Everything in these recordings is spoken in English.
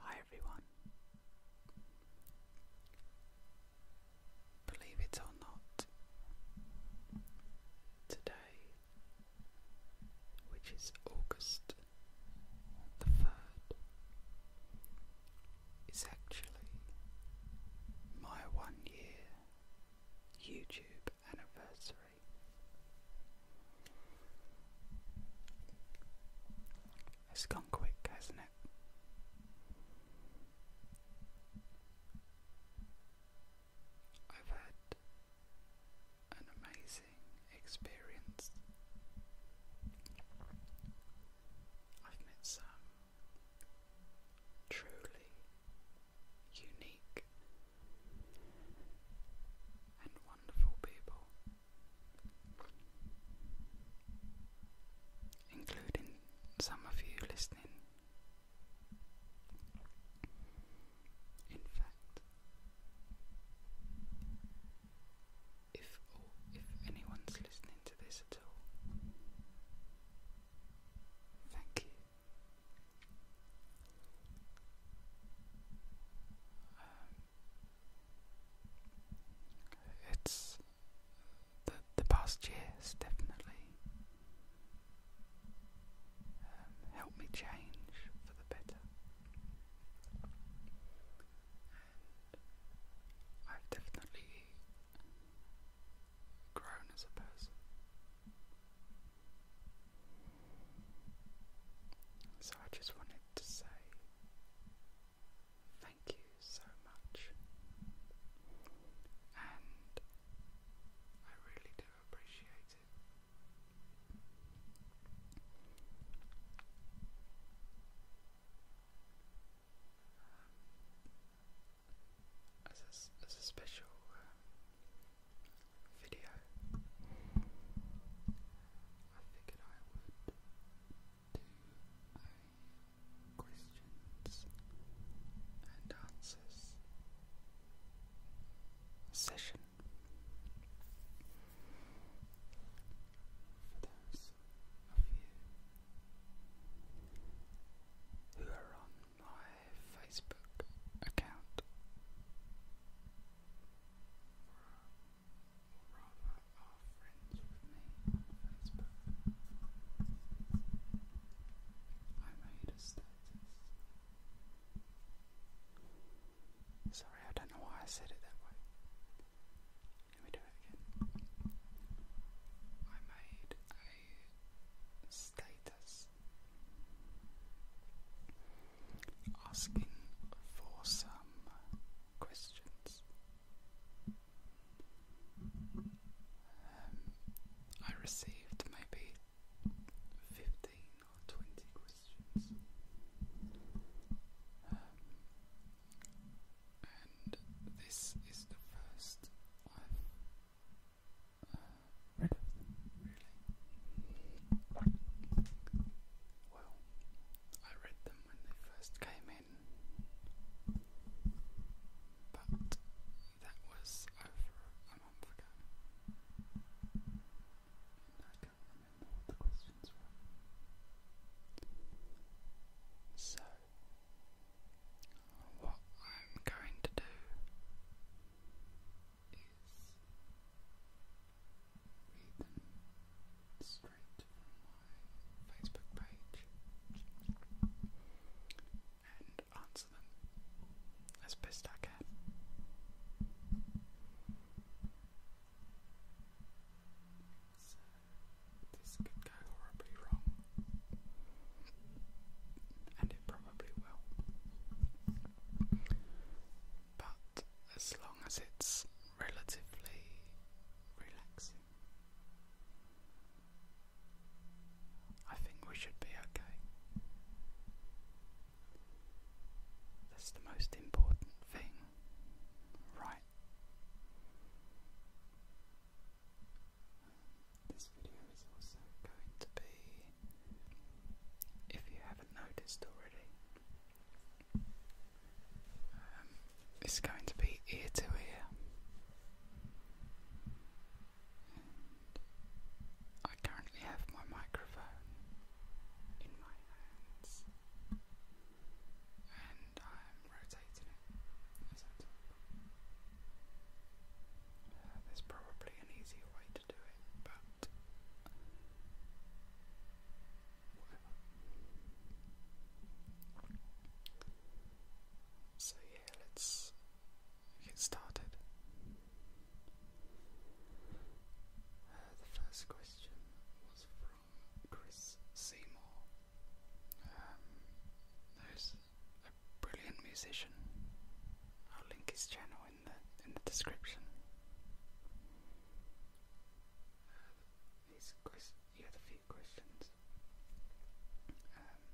Hi everyone. Believe it or not, today, which is August the 3rd, is actually my one year YouTube anniversary. It's gone quick, hasn't it? I've had an amazing experience. I've met some truly unique, and wonderful people, including some of you listening. In fact, if if anyone's listening to this at all, thank you. Um, it's the the past years definitely um, helped me change for the better, I've definitely grown as a person. So I just wanted to say thank you so much, and I really do appreciate it as a, special uh, video, I figured I would do a questions and answers session for those of you who are on my Facebook account, or, rather, are friends with me on Facebook. I made a status. Sorry, I don't know why I said it that way. Let me do it again. I made a status asking for some questions. Um, I received maybe 15 or 20 questions. Um, and this is the first I've rid of really. Well, I read them when they first came in, but that was over a month ago. And I can't remember what the questions were. So, what I'm going to do is made them straight from my Facebook page and answer them as best I can. So, this could go horribly wrong and it probably will. But as long as it's relatively relaxing, I think we should be okay. That's the most important thing, right? This video is also going to be, if you haven't noticed already, um, it's going to be ear to ear. I currently have my microphone in my hands and I'm rotating it uh, there's probably an easier way to do it, but So, yeah, let's get started. Uh, the first question was from Chris Seymour, um, a brilliant musician. I'll link his channel in the description. Uh, these you had a few questions. Um,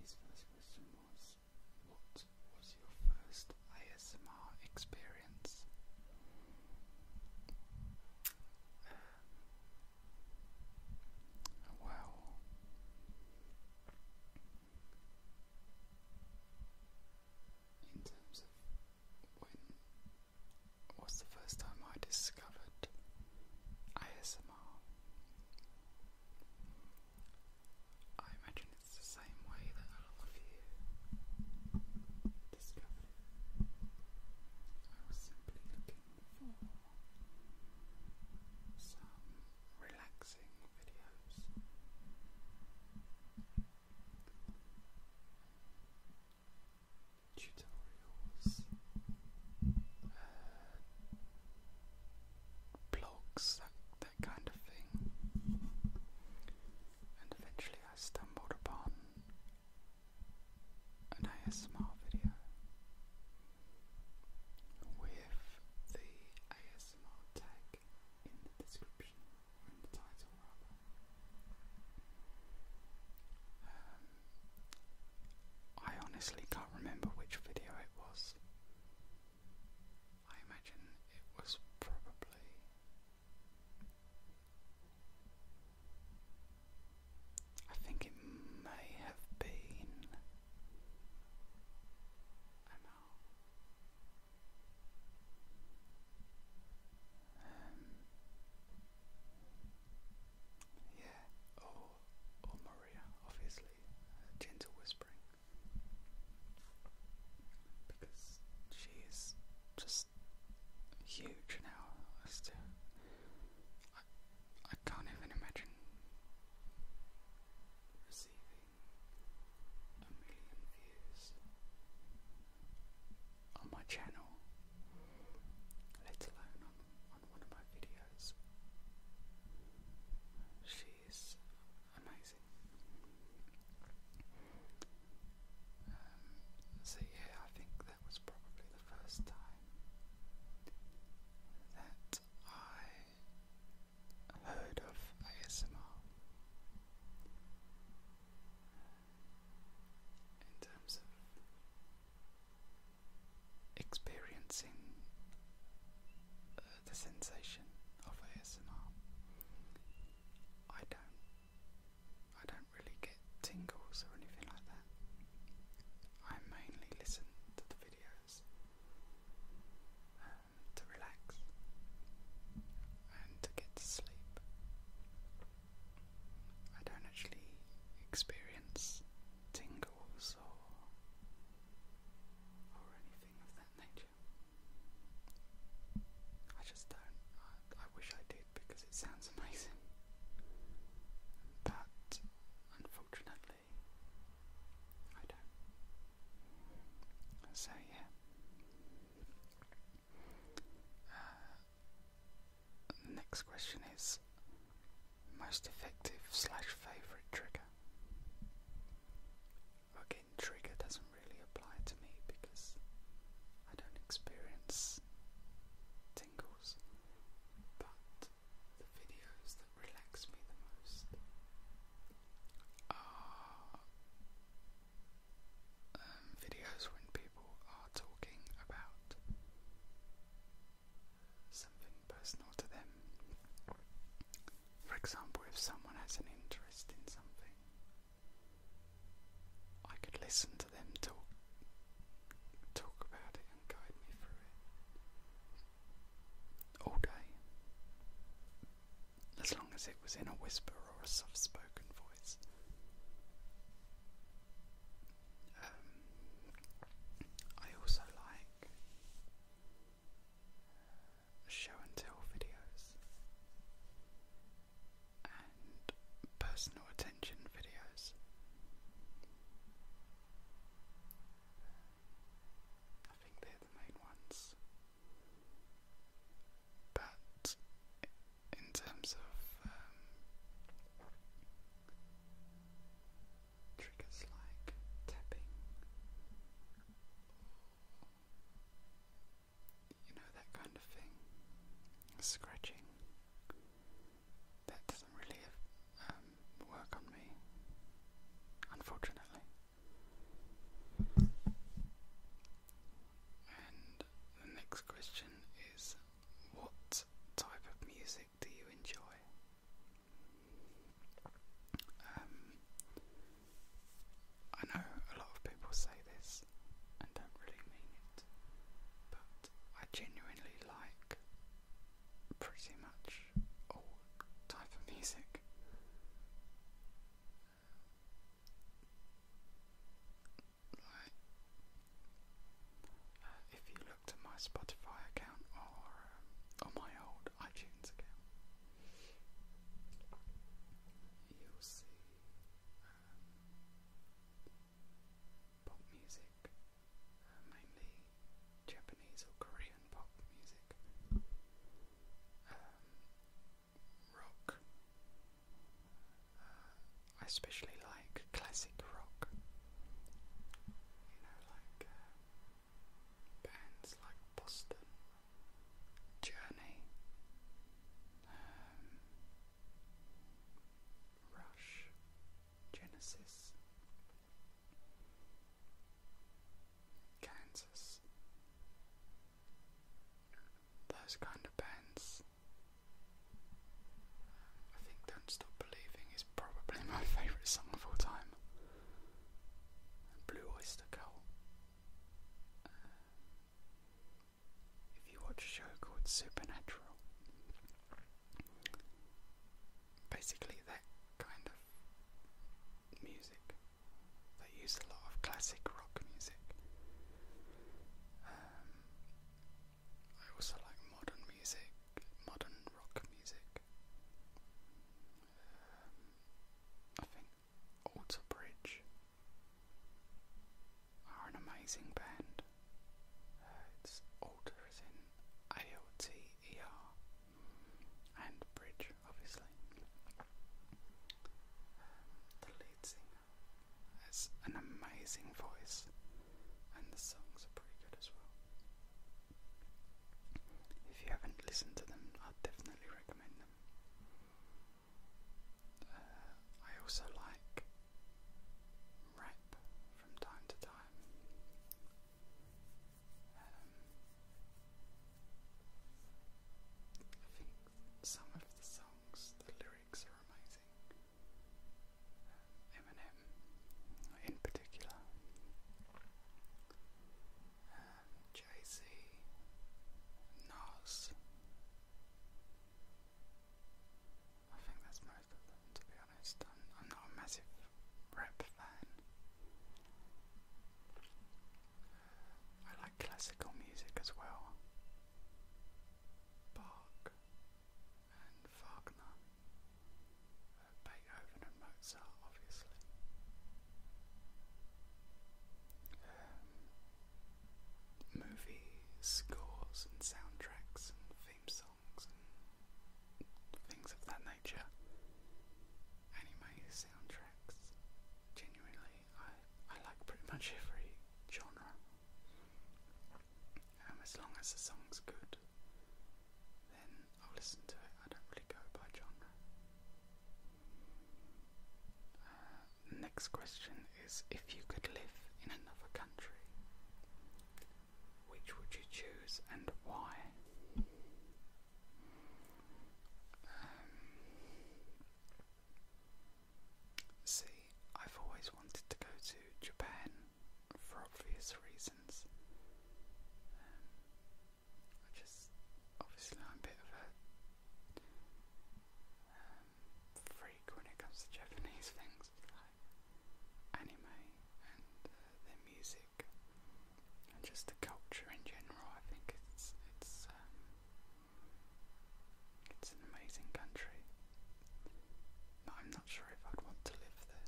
his first question was, "What was your first ASMR experience?" Um, in terms of when was the first time I discovered ASMR. I imagine it's the same way that a lot of you discovered it. I was simply looking for some relaxing videos. Tutorials uh, blogs, that kind of thing. And eventually I stumbled upon an ASMR video with the ASMR in the description, in the title um, I honestly can't remember which video it was. I imagine it was probably I think it may have been, know. yeah, or, or Maria, obviously, gentle whispering. Because she just huge now as to. I, I can't even imagine receiving a million views on my channel, let alone on, one of my videos. She amazing. Um, so yeah, I think that was probably the first time that I heard of ASMR. In terms of experiencing uh, the sensation of ASMR, I don't, I don't really get tingles or anything like that. I mainly listen to the videos to relax and to get to sleep. I don't actually experience tingles or or anything of that nature. I just don't. I, wish I did because it sounds amazing. But unfortunately, I don't. So yeah. Uh, next question is most effective slash favourite trigger. Again, trigger doesn't really apply to me because I don't experience tingles, but the videos relax me the most are um, videos when people are talking about something personal to them. For example, if someone has an interest in something, I could listen to them talk talk about it and guide me through it all day as long as it was in a whisper or a soft spoken voice. Um, I also like uh, show and tell videos and personal attention videos. I think they're the main ones. But in terms of um, triggers like tapping, you know, that kind of thing, scratching, that doesn't really um, work on me, unfortunately. And the next question is what type of music do you enjoy? Um, I know a lot of people say this and don't really mean it, but I genuinely like pretty much all type of music. Like, uh, if you looked at my Spotify account or um, my old iTunes account, you'll see um, pop music, uh, mainly Japanese or Korean pop music, um, rock. Uh, I especially like classic rock. You know, like uh, bands like Boston, Journey, um, Rush, Genesis. Kansas. Those kind of bands. I think Don't Stop Believing is probably my favourite song of all time. Blue Oyster Cult. Uh, if you watch a show called Supernatural, basically that kind of music they use a lot of classic rock music. Um, I also like modern music, modern rock music. Um, I think Alter Bridge are an amazing band. Uh, it's Alter is in A-L-T-E-R and bridge, obviously. Um, the lead singer has an amazing voice, and the songs are pretty good as well. If you haven't listened to them, i definitely recommend them. Uh, I also like rap from time to time. Um, I think some of the songs, the lyrics are amazing. Um, Eminem, in particular, um, Jay Z, Nas. I think that's most of them, to be honest. I'm not a massive rap fan. I like classical music as well. Bach and Wagner, uh, Beethoven and Mozart, obviously. Um, movie scores and soundtracks and theme songs and things of that nature anime soundtracks. Genuinely, I, I like pretty much every genre. Um, as long as the song's good, then I'll listen to it. I don't really go by genre. Uh, next question is if you could live in another country, which would you choose and why? Um, see, I've always wanted to go to Japan for obvious reasons. Um, I just, obviously, I'm a bit of a um, freak when it comes to Japanese things like anime and uh, their music and just the culture in general. I think it's it's um, it's an amazing country. But I'm not sure if I'd want to live there.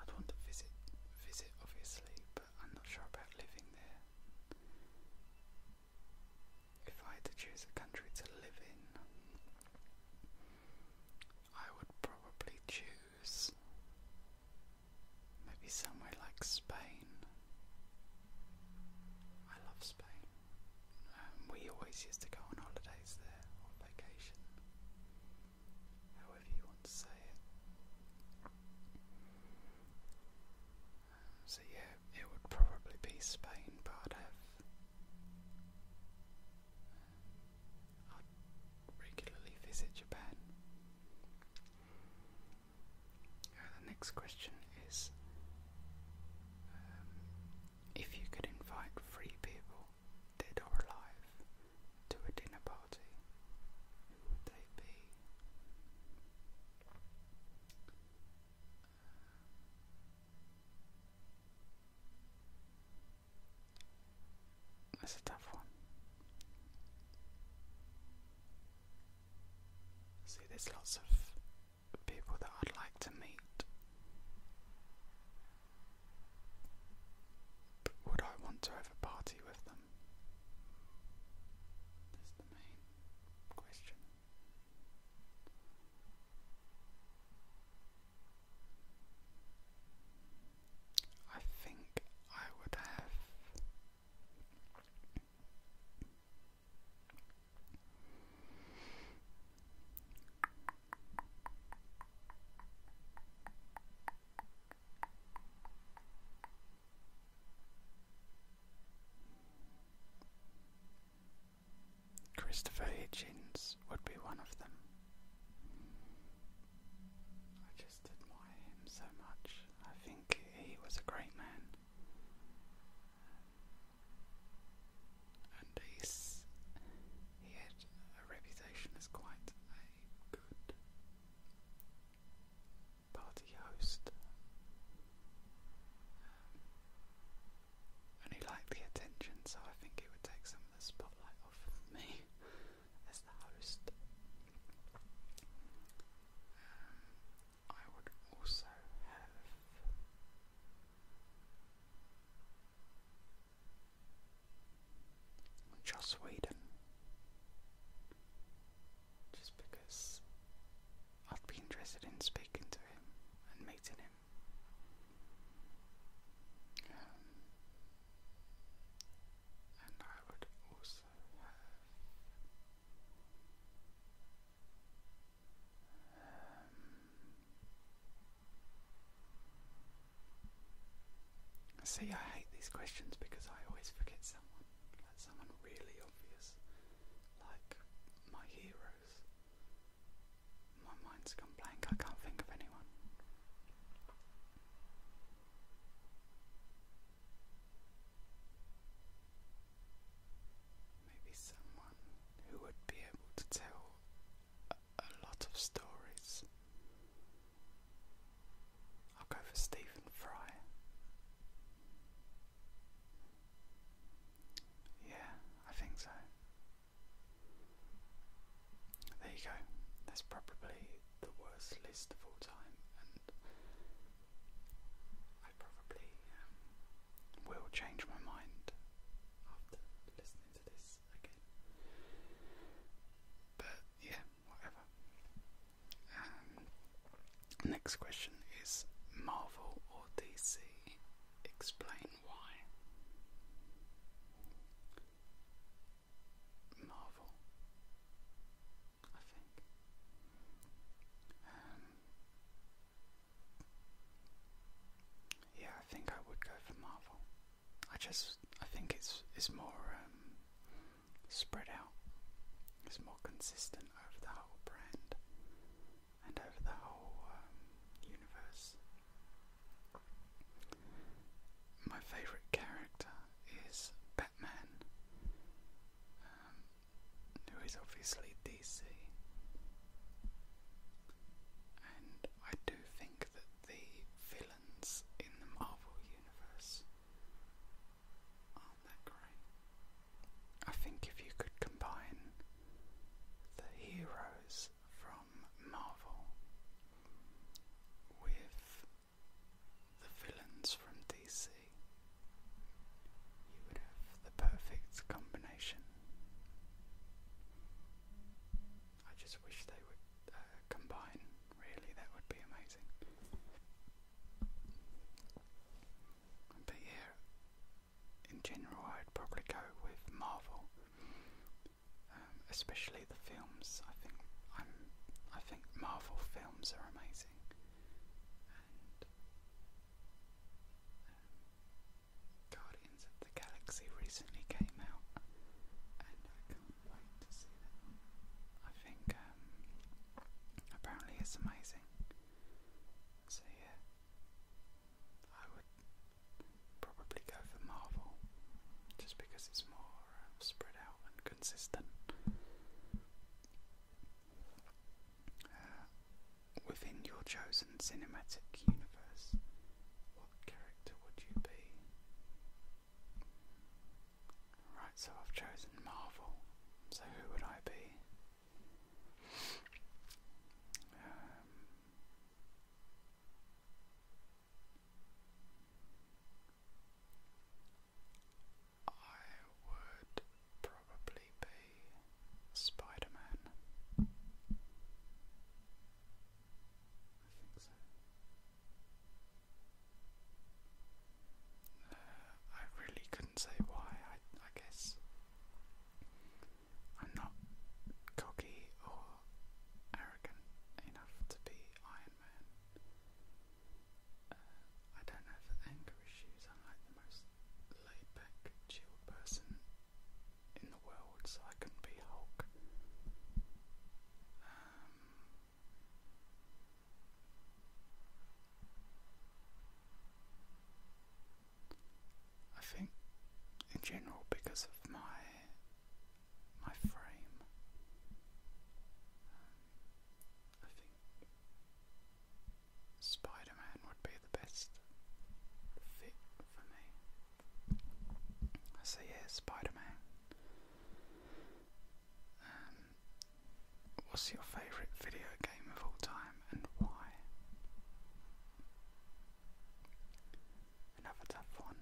I'd want to visit visit obviously, but I'm not sure about living there. If I had to choose a country to live in, I would probably choose Maybe somewhere like Spain. I love Spain. Um, we always used to go on holidays there, or vacation, however you want to say it. Um, so, yeah, it would probably be Spain, but I'd um, regularly visit Japan. Uh, the next question is um, if you could invite three people, dead or alive, to a dinner party, who would they be? That's a tough one. See, there's lots of people that I'd like to meet. But would I want to have a party with them? That's the main question. I think I would have Christopher Hitchens would be one of them just admire him so much. I think he was a great man. And he's, he had a reputation as quite a good party host. Um, and he liked the attention, so I think he would take some of the spotlight off me. as the host. Um, I would also have. Joss Whedon. Just because I'd be interested in speaking to him and meeting him. Um, I um, See, I hate these questions because I always forget someone, like someone really obvious, like my heroes. My mind's gone blank, I can't think of anyone. Maybe someone who would be able to tell a, lot of stories. I'll go for Stephen Fry. Yeah, I think so. There you go. That's probably the worst list of all time, I probably um, will change my mind after listening to this again. But yeah, whatever. Um, next question is Marvel or DC? Explain why. Marvel. I think. Um, yeah, I think I would go for Marvel. I just, I think it's it's more um, spread out. It's more consistent over the whole brand and over the whole um, universe. My favourite character is Batman, um, who is obviously DC. And I do think that the villains in the Marvel Universe aren't that great. I think if you could combine the heroes from Marvel with the villains from DC, you would have the perfect combination. I just wish they would uh, combine, really, that would be amazing. But yeah, in general, I'd probably go with Marvel, um, especially the films. I think I'm, um, I think Marvel films are amazing. Um, Guardians of the Galaxy recently came out, and I can't wait to see that. I think um, apparently it's amazing. So yeah, I would probably go for Marvel just because it's more um, spread out and consistent within your chosen cinematic universe, what character would you be? Right, so I've chosen Marvel, so who would I be? Um, I would probably be Spider I think so. I really couldn't say why. I, guess I'm not cocky or arrogant enough to be Iron Man. I don't have anger issues. I'm like the most laid back, chill person in the world, so I can be Hulk. Um, I think, in general, because of my my frame, um, I think Spider Man would be the best fit for me. So, yeah, Spider Um, what's your favourite video game of all time and why? Another tough one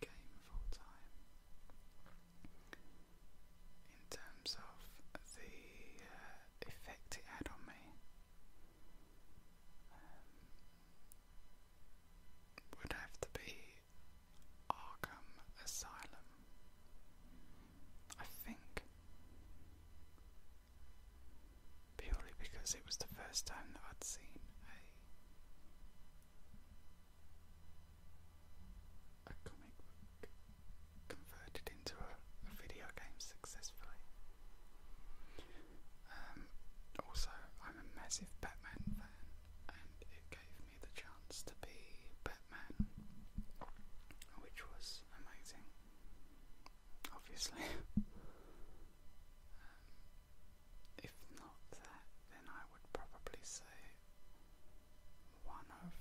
game full time. In terms of the uh, effect it had on me, um, would have to be Arkham Asylum. I think. Purely because it was the first time that I'd seen a comic book converted into a, video game successfully. Um, also, I'm a massive Batman fan, and it gave me the chance to be Batman, which was amazing, obviously. Um, if not that, then I would probably say one of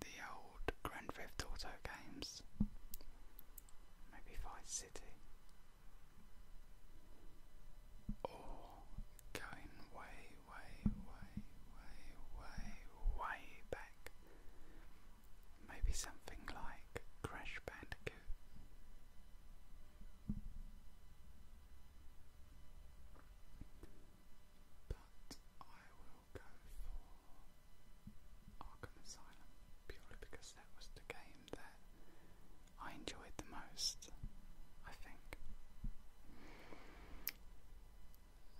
the old Grand Theft Auto games, maybe Vice City, or going way, way, way, way, way, way back, maybe something like Crash Bandicoot. But I will go for Arkham Asylum purely because that was the game that I enjoyed the most, I think.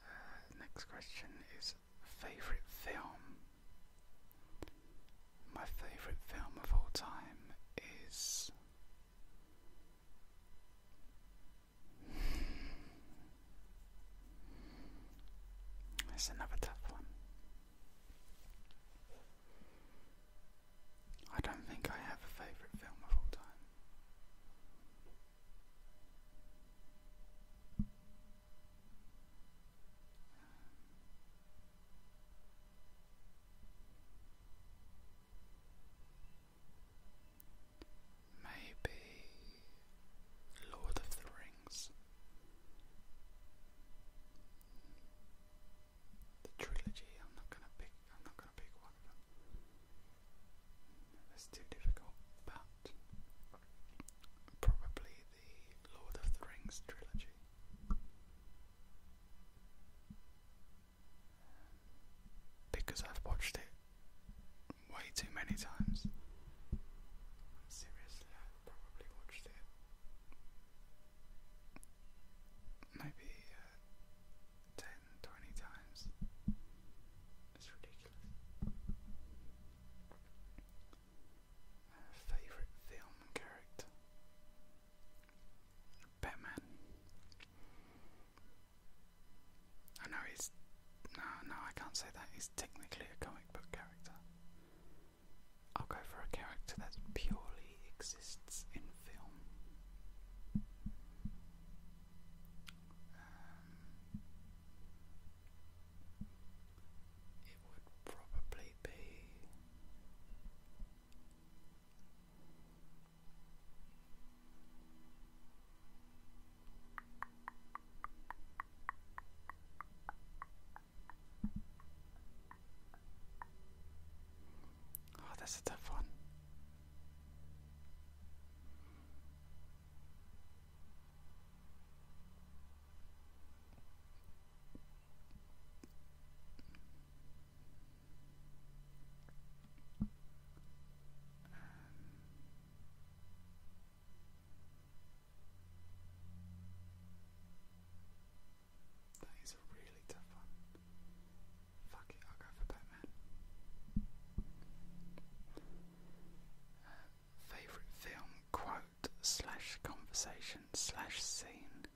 Uh, next question is favourite film. My favourite film of all time is. It's another tough one. I don't think I have a favourite film of all time. Maybe Lord of the Rings. The trilogy, I'm not gonna pick I'm not gonna pick one of them. That's too difficult, but probably the Lord of the Rings trilogy because I've watched it way too many times. Seriously, I've probably watched it maybe uh, times. It's ridiculous. favorite film character? Batman. I know he's. No, no, I can't say that. He's technically a comic book character. I'll go for a character that purely exists in film. Um, it would probably be. Oh, that's a tough one. Um, that is a really tough one. Fuck it, I'll go for Batman. Uh, favorite film quote slash conversation slash scene.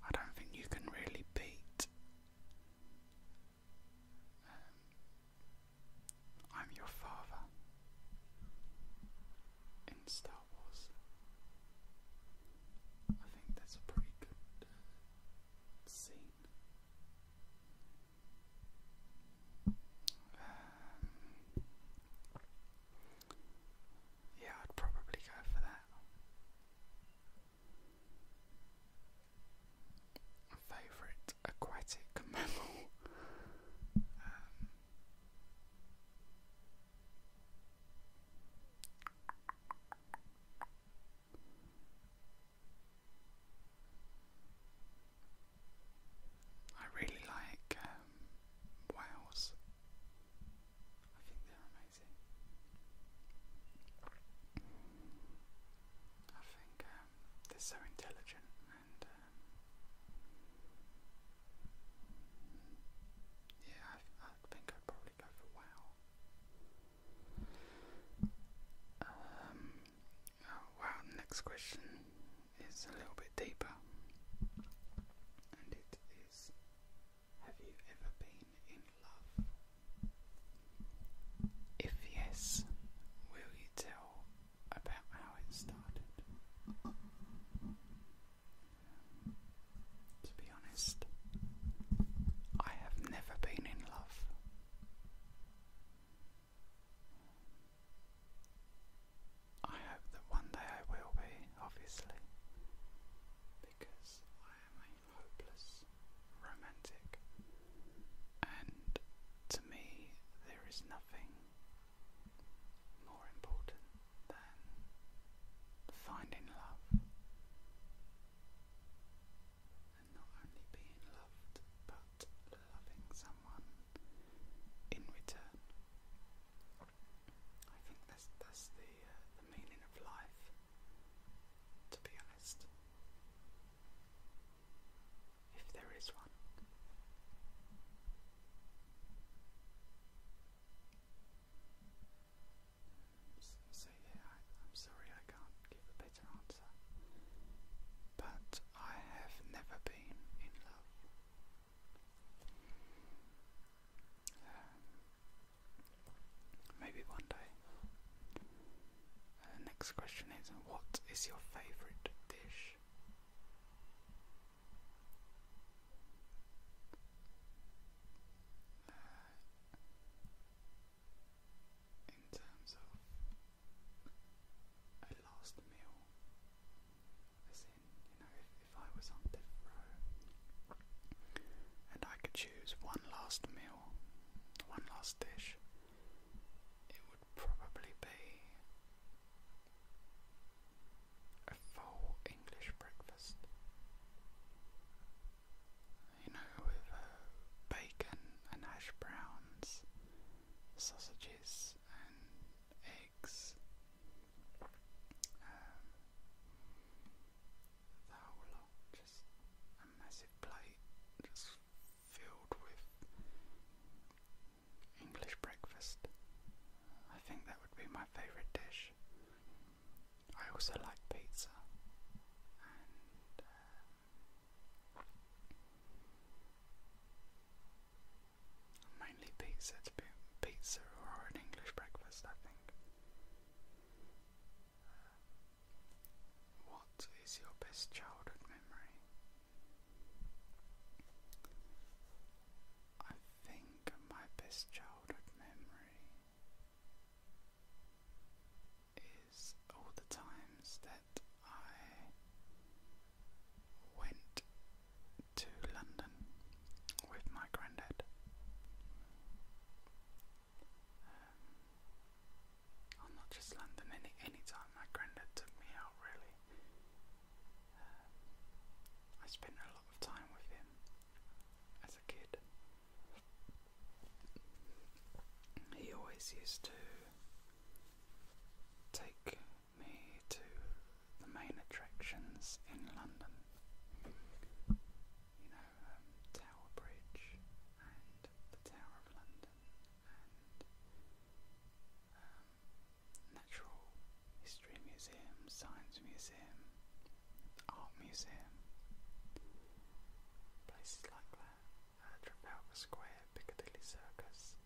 I don't think you can really beat. Um, I'm your father in Star Wars. I think that's a pretty good uh, scene. Um, yeah, I'd probably go for that. Favorite aquatic mammal. Um, I really like um, whales. I think they're amazing. I think um, they're so intelligent and um, yeah, I, think I'd probably go for wow. Oh, wow, next question is a little bit deeper. And it is Have you ever been in love? If yes, will you tell about how it started? to be honest, I have never been in love. I hope that one day I will be, obviously, because I am a hopeless romantic, and to me, there is nothing more important than finding love and not only being loved, but loving someone in return. I think that's that's the uh, the meaning of life. To be honest, if there is one. So yeah, I'm sorry I can't give a but I have never been in love. Um, maybe one day. Uh, next question is What is your favourite dish? Uh, in terms of a last meal. As in, you know, if, I was on death row and I could choose one last meal, one last dish, it would probably be a full English breakfast. You know, with uh, bacon and hash browns sausages and eggs. Um, the whole lot, just a massive plate just filled with English breakfast. I think that would be my favourite dish. I also like pizza uh, Mainly pizza, pizza or an English breakfast, I think. Uh, what is your best childhood memory? I think my best childhood memory is all the times that that I went to London with my granddad. Um, well, not just London, any, any time my granddad took me out, really. Um, I spent a lot of time with him as a kid. He always used to take me to the main attractions in London. You know, um, Tower Bridge and the Tower of London um, Natural History Museum, Science Museum, Art Museum, places like that and from Palmer Square, Piccadilly Circus.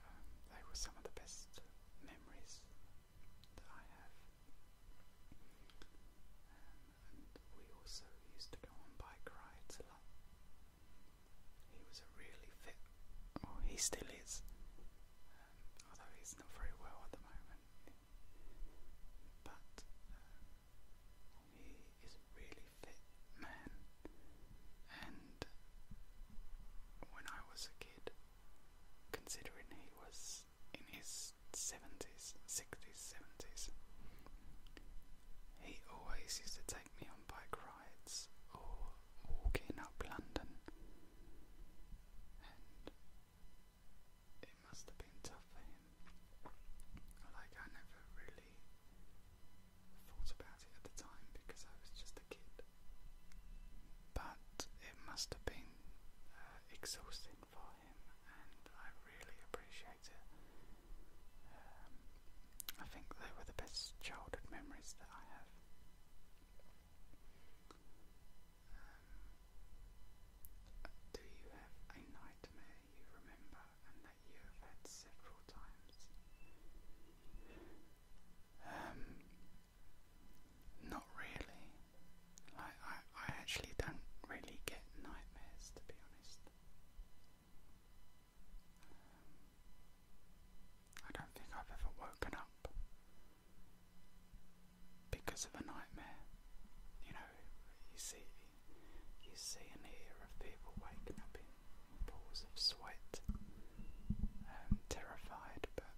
Um, they were some of the best memories that I have. Um, we also used to go on bike rides He was a really fit, well, he still is, um, although he's not very well at the moment. But he is a really fit man, and when I was a kid, considering he was in his 70s, 60s, 70s, he always used to take me on bike rides or walking up London, and it must have been tough for him. Like, I never really thought about it at the time because I was just a kid. But it must have been uh, exhausting for him, and I really appreciate it. Um, I think they were the best childhood memories that I have. Um, do you have a nightmare you remember that you have had several times. Um, not really. Like I, I actually don't really get nightmares to be honest. Um, I don't think I've ever woken up because of a nightmare. You know, you see, you see and hear of people waking up in pools of sweat. Um, terrified, but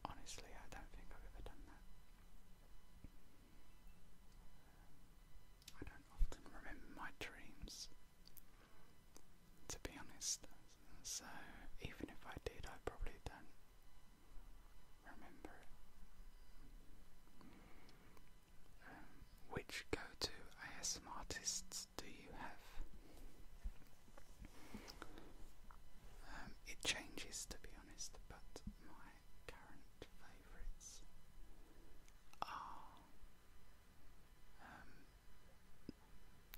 honestly, I don't think I've ever done that. Um, I don't often remember my dreams, to be honest. So even if I did, I probably don't remember it which go-to ASM artists do you have? Um, it changes to be honest, but my current favourites are um,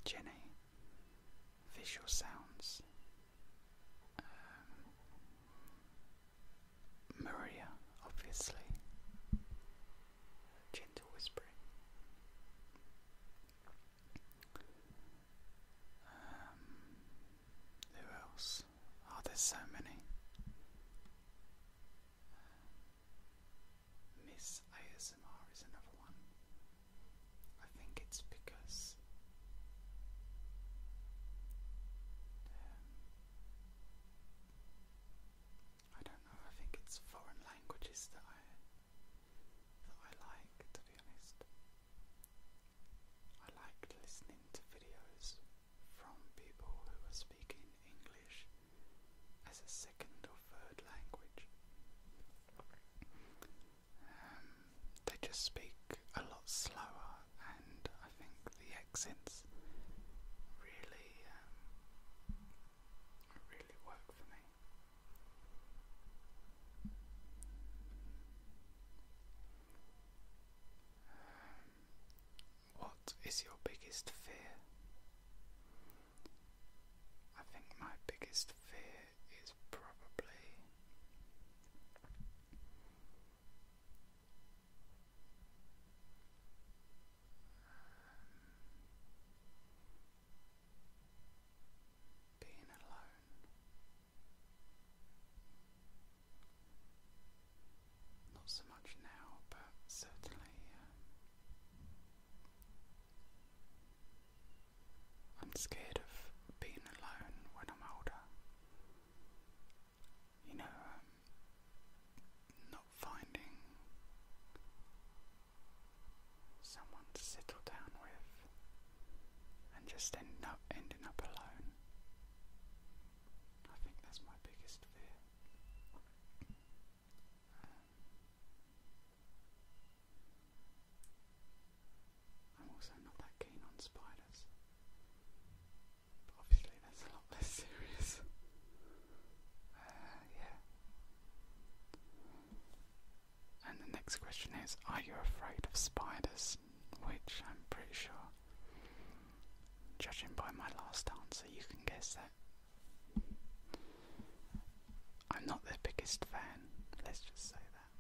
Jenny, Visual Sounds, um, Maria, obviously. Gentle whispering. Um, who else? Oh, there's so many. Uh, Miss ASMR is another one. I think it's because. Um, I don't know, I think it's foreign languages that I that I like to be honest. I like listening to videos from people who are speaking English as a second or third language. Um, they just speak a lot slower and I think the accents really, um, really work for me. Um, what is your biggest fear? I think my biggest fear is probably being alone, not so much now, but certainly um, I'm scared of being alone when I'm older. You know, um, finding someone to settle down with and just end up ending up alone. I think that's my biggest fear. Um, I'm also not that keen on spiders. But obviously that's a lot less serious. Uh, yeah. And the next question is Are you afraid of spiders? Which I'm pretty sure, judging by my last answer, you can guess that. I'm not their biggest fan, let's just say that.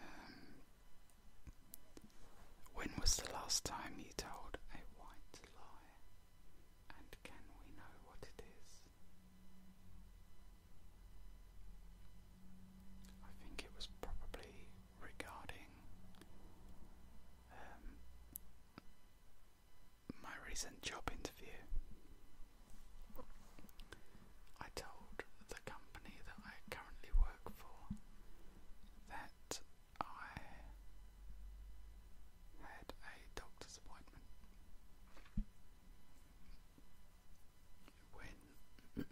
Um, when was the last time you told a white lie? And can we know what it is? I think it was probably regarding um, my recent job interview. I told the company that I currently work for that I had a doctor's appointment when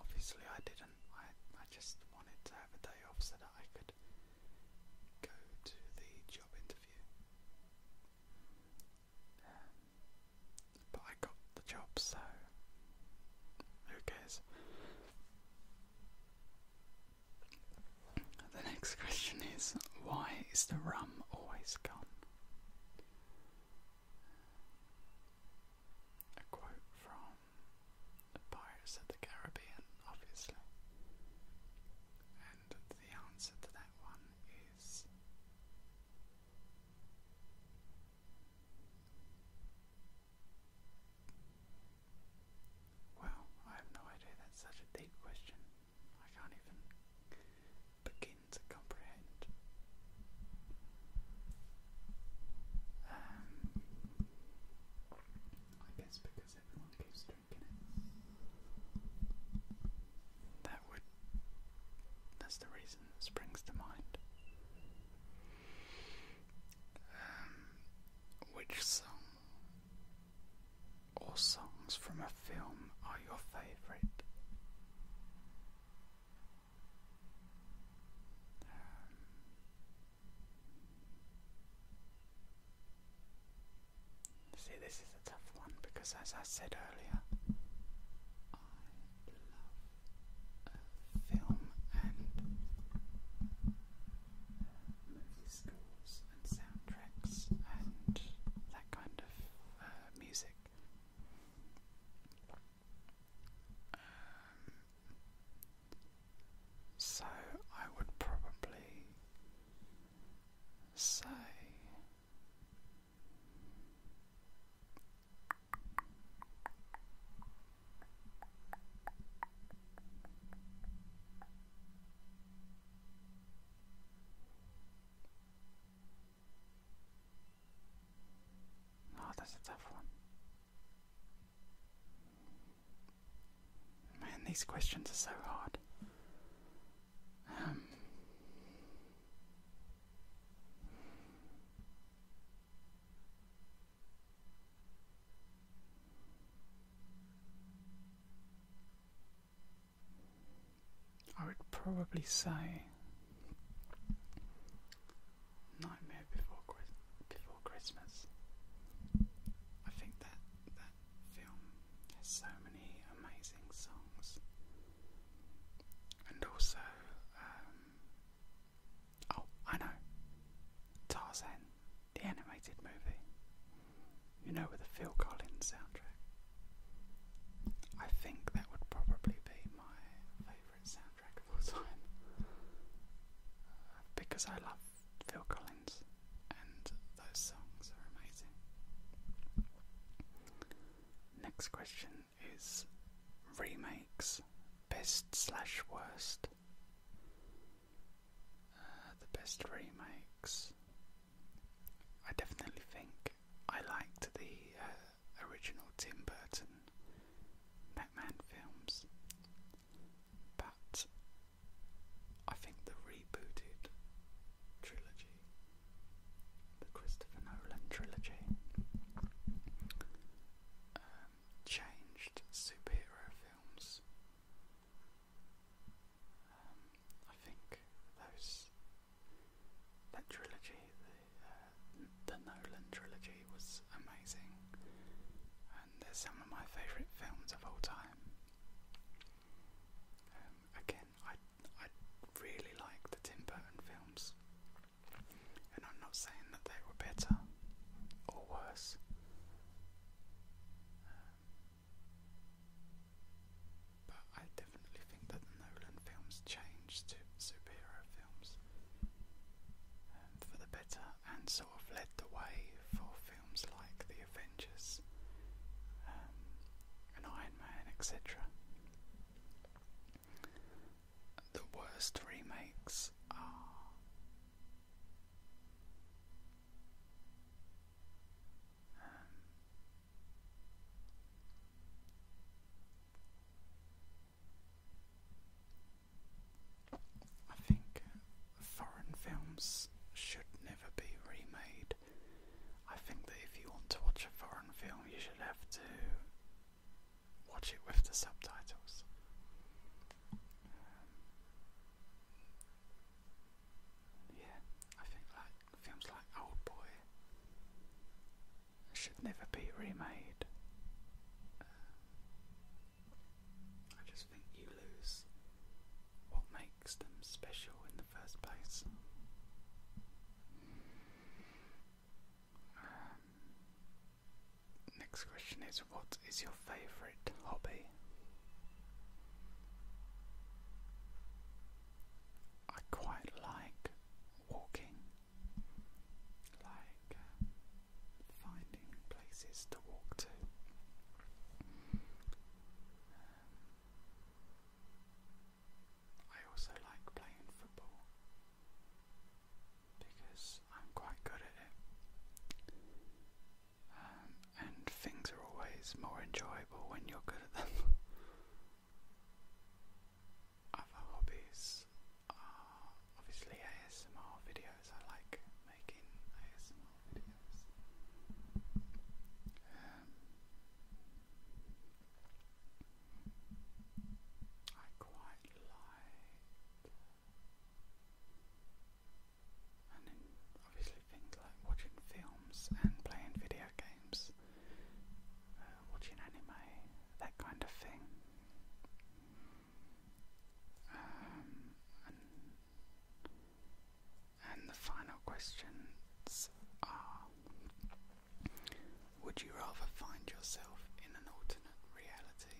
obviously I didn't. I I just wanted to have a day off so that I could go to the job interview. but I got the job, so who cares? The next question is why is the rum always gone? A quote from Pirates of the Caribbean, obviously. And the answer to that one is Wow, I have no idea that's such a deep question. I can't even begin to comprehend. Um, I guess because everyone keeps drinking it. That would. That's the reason that springs to mind. Um, which song or songs from a film are your favourite? Um, see, this is a tough one because, as I said earlier, I film and movie scores and soundtracks and that kind of uh, music. Um, so I would probably say Oh, that's a tough one. Man, these questions are so hard. Um, I would probably say Nightmare Before Christmas. I think that that film has so many amazing songs, and also um, Oh, I know. Tarzan, the animated movie. You know, with the Phil Collins soundtrack. I think that would probably be my favourite soundtrack of all time. Uh, because I love Phil Collins and those songs are amazing. Next question is remakes best slash worst. Uh, the best remakes. I definitely think I liked the uh, original Tim Burton Batman films, but I think the rebooted trilogy, the Christopher Nolan trilogy, um, changed superhero films. Um, I think those that trilogy, the uh, the Nolan trilogy, was amazing, and they're some of my favourite films of all time. Um, again, I I really like the Tim Burton films. And I'm not saying that they were better or worse. Um, but I definitely think that the Nolan films changed to superhero films um, for the better and sort of led the way for films like The Avengers um, and Iron Man, etc. The worst remakes are I think foreign films should never be remade. I think that if you want to watch a foreign film, you should have to watch it with the subtitles. Um, yeah, I think like films like Old Boy should never be remade. Um, I just think you lose what makes them special in the first place. Um, Next question is What is your favourite hobby? I quite like walking, like uh, finding places to walk to. Um, I also like playing football because I'm quite good at it. Um, and things are always more enjoyable when you're good at them. Other hobbies are obviously ASMR videos. I like making ASMR videos. Um, I quite like. And then obviously things like watching films and playing video games, uh, watching anime, that kind of thing. Um, and the final questions are Would you rather find yourself in an alternate reality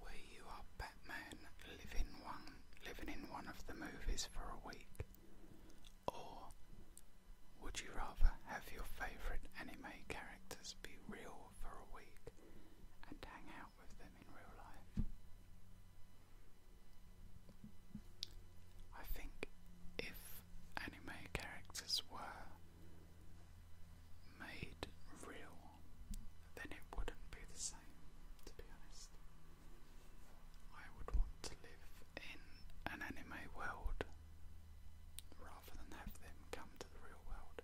where you are Batman living one living in one of the movies for a week? Or would you rather have your favourite anime characters be real for a week and hang out with them in real life? I think if anime characters were made real, then it wouldn't be the same, to be honest. I would want to live in an anime world rather than have them come to the real world.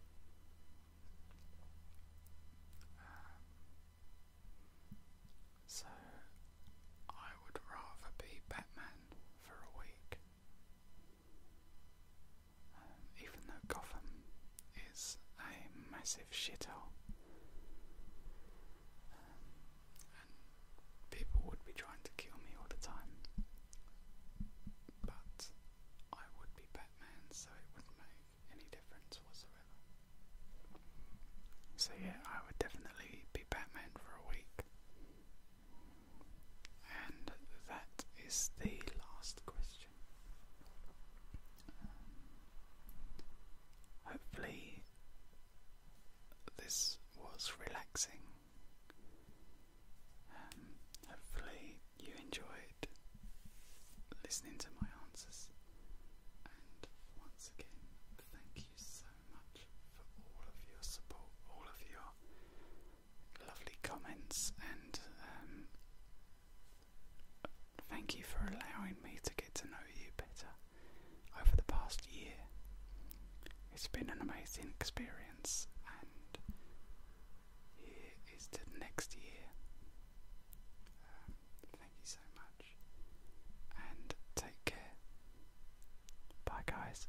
Um, so, I would rather be Batman for a week even though Gotham is a massive shithole, um, people would be trying to kill me all the time, but I would be Batman, so it wouldn't make any difference whatsoever. So, yeah, I would definitely be Batman for a week. And that is the last question. Um, hopefully, this was relaxing. Um, hopefully, you enjoyed listening to my answers. And once again, thank you so much for all of your support, all of your lovely comments, and um, Thank you for allowing me to get to know you better over the past year. It's been an amazing experience, and here is to next year. Um, thank you so much, and take care. Bye, guys.